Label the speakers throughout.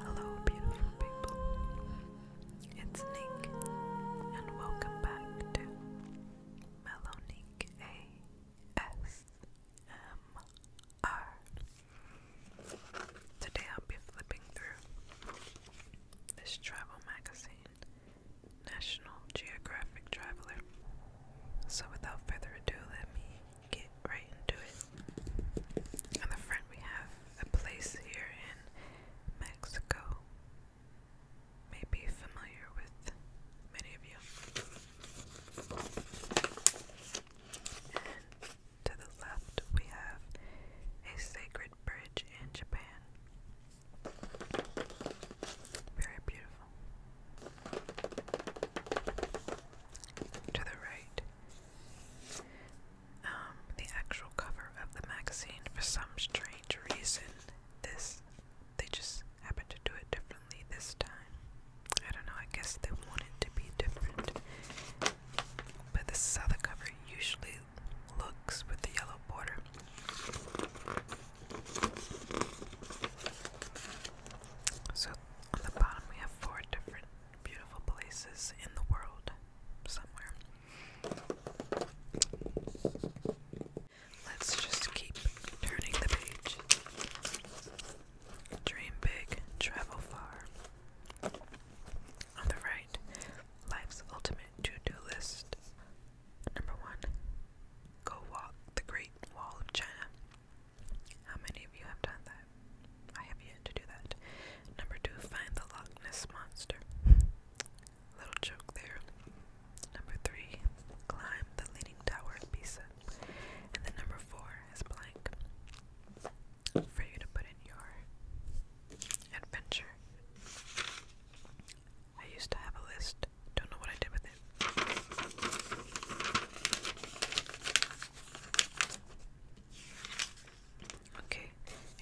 Speaker 1: Hello, beautiful people. It's Nick, and welcome back to Melonique ASMR. Today I'll be flipping through this travel magazine, National Geographic Traveler. So, without further ado, let me get right into it. On the front, we have a place here in Mexico. May be familiar with many of you. And to the left, we have a sacred bridge in Japan. Very beautiful. To the right, um, the actual cover of the magazine, for some strange reason, this they just happened to do it differently this time. I don't know, I guess they want it to be different. But this is how the cover usually looks with the yellow border. So on the bottom we have four different beautiful places in the world somewhere. Let's just keep turning the page. Dream big, travel far. On the right, life's ultimate to do list. Number one, go walk the Great Wall of China. How many of you have done that? I have yet to do that. Number two, find the Loch Ness Monster. Little joke there. Number three, climb the Leaning Tower of Pisa. And then number four is blank for you to put in your adventure. I used to have a list, don't know what I did with it. Okay,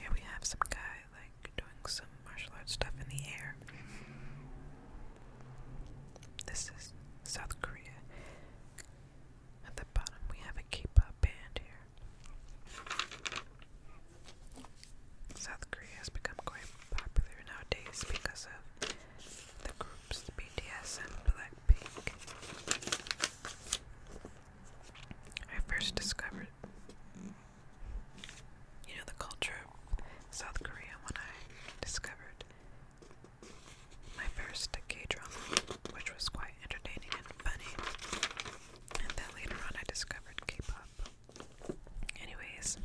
Speaker 1: here we have some guy like doing some martial arts stuff in the air. This is South Korea. At the bottom, we have a K pop band here. South Korea has become quite popular nowadays because of the groups BTS and Black I first discovered, you know, the culture of South Korea when I discovered my first K drama, which was quite entertaining and funny. And then later on, I discovered K pop. Anyways,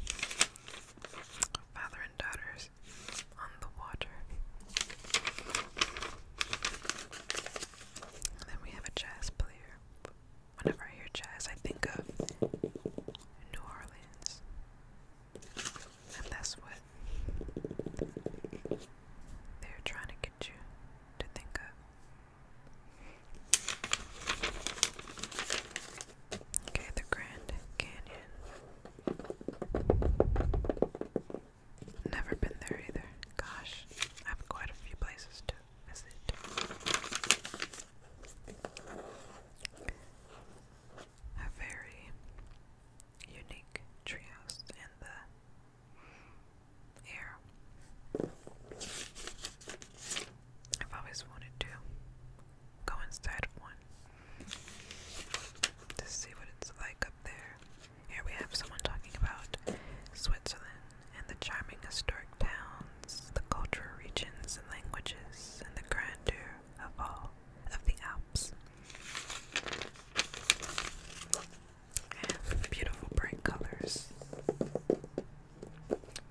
Speaker 1: father and daughter on the water. then we have a jazz player. Whenever I hear jazz, I think of New Orleans. And that's what they're trying to get you to think of. Okay, the Grand Canyon. Never been there either. Gosh, I have quite a few places to visit. A very unique treehouse in the air. I've always wanted to go inside of one to see what it's like up there. Here we have someone talking about Switzerland and the charming historic towns, the cultural regions and languages, and the grandeur of all of the Alps. beautiful bright colors.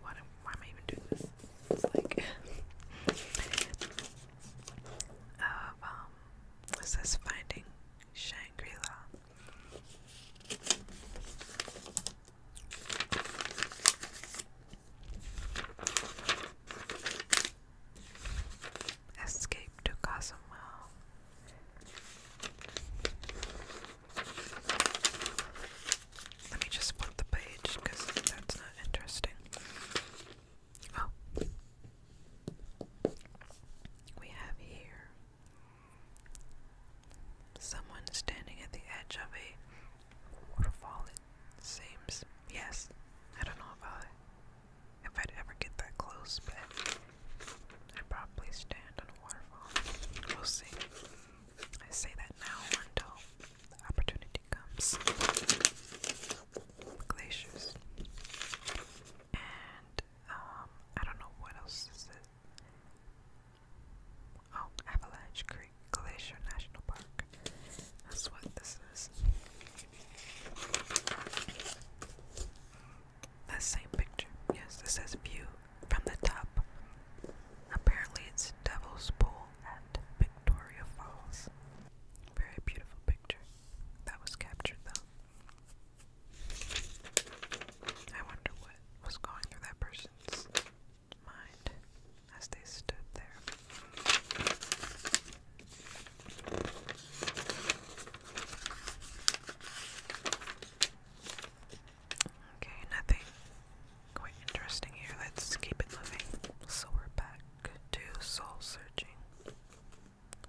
Speaker 1: Why, am I even doing this? like of um, what's this? Finding Shangri La. Escape to Cozumel. Let me just flip the page because that's not interesting. Oh. We have here someone standing at the edge of a waterfall, it seems. Yes. I don't know if I if I'd ever get that close, but I'd probably stand on a waterfall. We'll see. I say that now until the opportunity comes glaciers. And um, I don't know what else is it. Oh, Avalanche Creek Glacier National Park. That's what this is. That same picture. Yes, this says view from the top. Apparently, it's Devil's Pool at Victoria Falls. Very beautiful picture. That was captured though. I wonder what was going through that person's mind as they stood there. Okay, nothing quite interesting here. Let's keep it moving. So we're back do soul searching.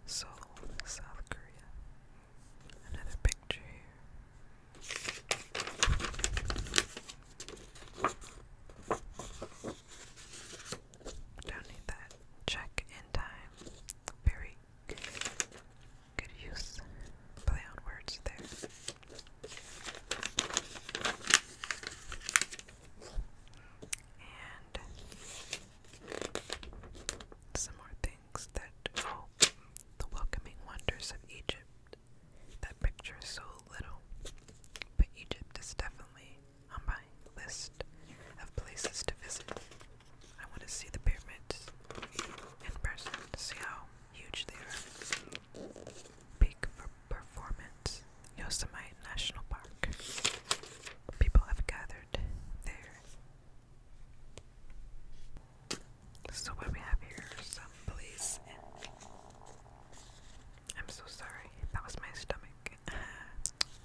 Speaker 1: Seoul, South Korea. Another picture here. Don't need that. Check in time. Very good use. Play on words there and some more things that oh the welcoming wonders of Egypt. That picture so little, but Egypt is definitely on my list of places to visit. I want to see the pyramids in person, see how huge they are for Performance, Yosemite National Park. People have gathered there. So what we have here some police I'm so sorry, that was my stomach.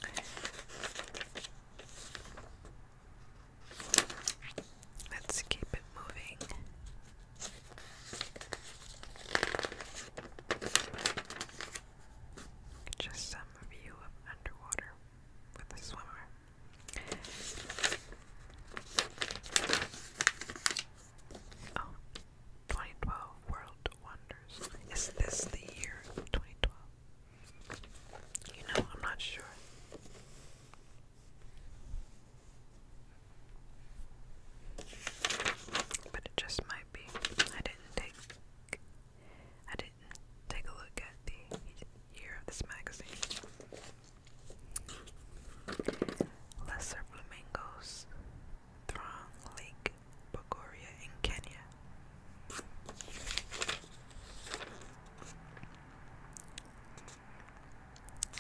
Speaker 1: Let's keep it moving. Just some view of underwater with a swimmer. Oh, World Wonders. Is this the year 2012? You know, I'm not sure. But it just might. I didn't take I didn't take a look at the year of this magazine. Lesser flamingos throng Lake Bogoria in Kenya.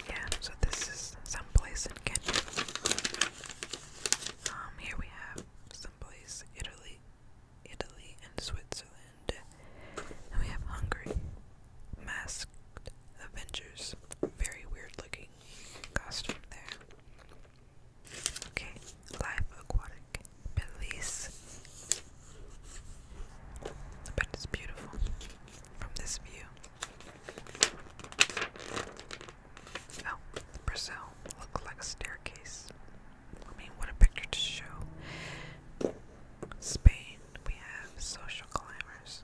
Speaker 1: Yeah, so this is some place in Kenya. Um, here we have someplace Italy, Italy and Switzerland. we have Hungary. Masked Avengers. Very weird looking costume there. Okay, live aquatic. Belize. But it's beautiful from this view. Oh, Brazil look like a staircase. I mean, what a picture to show. Spain, we have social climbers,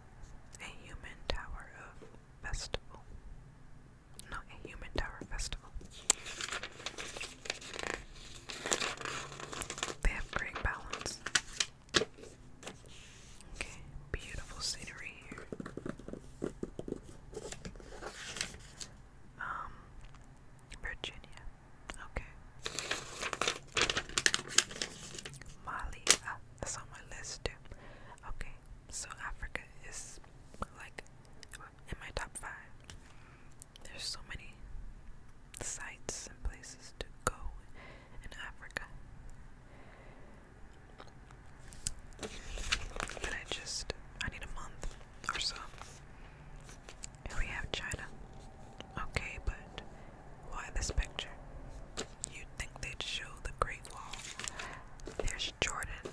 Speaker 1: a human tower of festival. Not a human tower festival. They have great balance. Okay, beautiful scenery here. Um, Virginia. Okay. Mali. Ah, that's on my list too. Okay, so Africa is like in my top five. There's so many sites and places to go in Africa. But I just, I need a month or so. And we have China. Okay, but why this picture? You'd think they'd show the Great Wall. There's Jordan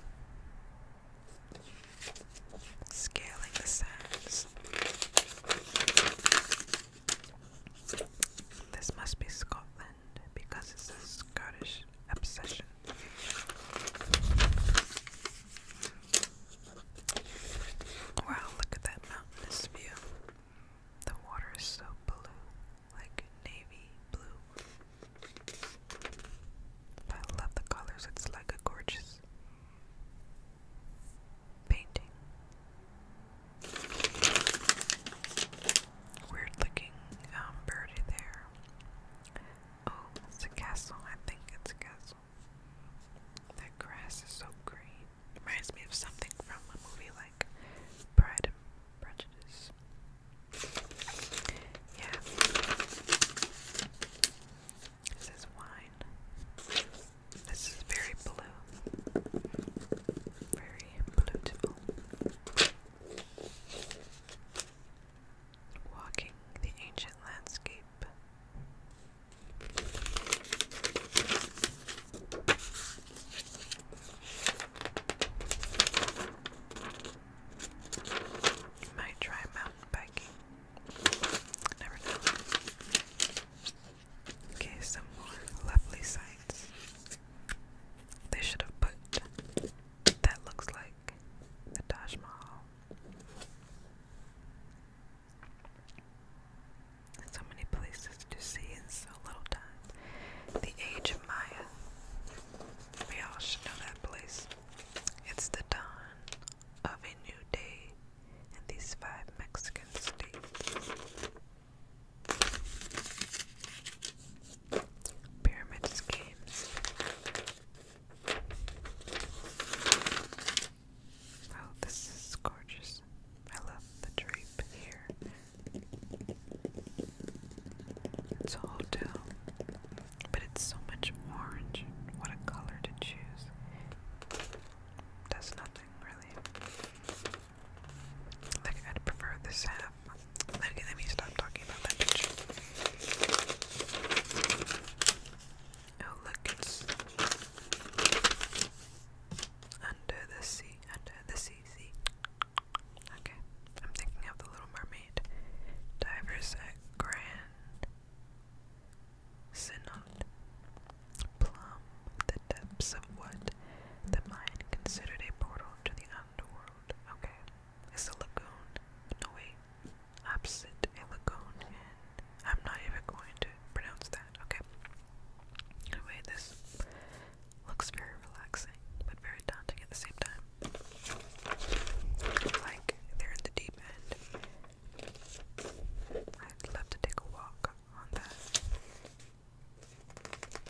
Speaker 1: scaling the sands. This must be Scotland because it's a Scottish obsession. Wow, look at that mountainous view. The water is so blue, like navy blue. I love the colors, it's like a gorgeous painting weird looking um, birdie there. Oh, it's a castle. I think it's a castle. That grass is so green. Reminds me of something from a movie like Pride and Prejudice. Yeah. This is wine. This is very blue. Very blue. Walking the ancient landscape. might try mountain biking. Never know. Okay, some more lovely sights. They should have put that looks like the Taj Mahal. So many places to see in so little time. The Age of Maya. We all should know that place. It's the dawn of a new day in these five Mexican states. Pyramid schemes. Oh, this is gorgeous. I love the drape here. It's a hotel, but it's so much orange. What a color to choose. Does nothing really. Like, I'd prefer this half. Okay, let me stop talking about that Oh, look, it's under the sea, under the sea, Okay, I'm thinking of the Little Mermaid. Divers at uh, Grand Synod. Plum depths of what the Mayan considered a portal to the underworld. Okay, a lagoon. No wait, opposite a lagoon, and I'm not even going to pronounce that. Okay. Anyway, this looks very relaxing, but very daunting at the same time. Like they're in the deep end. I'd love to take a walk on that.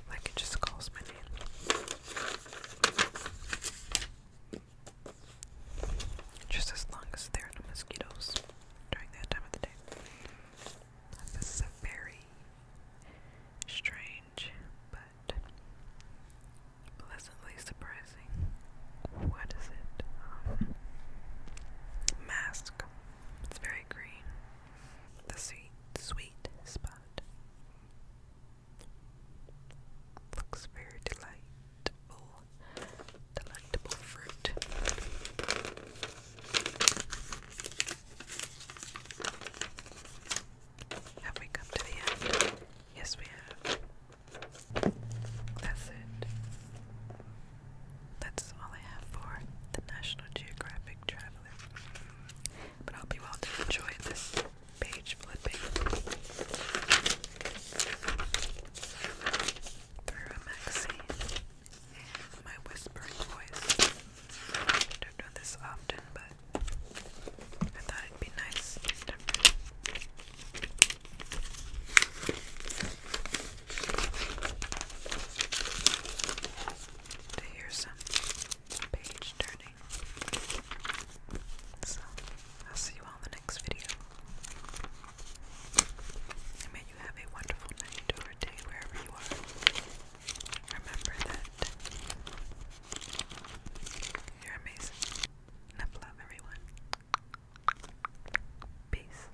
Speaker 1: Like it just calls my name. Just as long as there are no mosquitoes during that time of the day. This is a very strange but pleasantly surprising. What is it? Um, mask. It's very green the sweet, sweet spot. Looks very delightful, delectable fruit. Have we come to the end? Yes, we have. That's it. That's all I have for the National Geographic Travel but I hope you all did enjoy this page flipping through a magazine and my whispering voice. I don't do this often, but I thought it'd be nice to hear some page turning. So, I'll see you all the next video. And may you have a wonderful night or day wherever you are. Remember that you're amazing. love, everyone. Peace.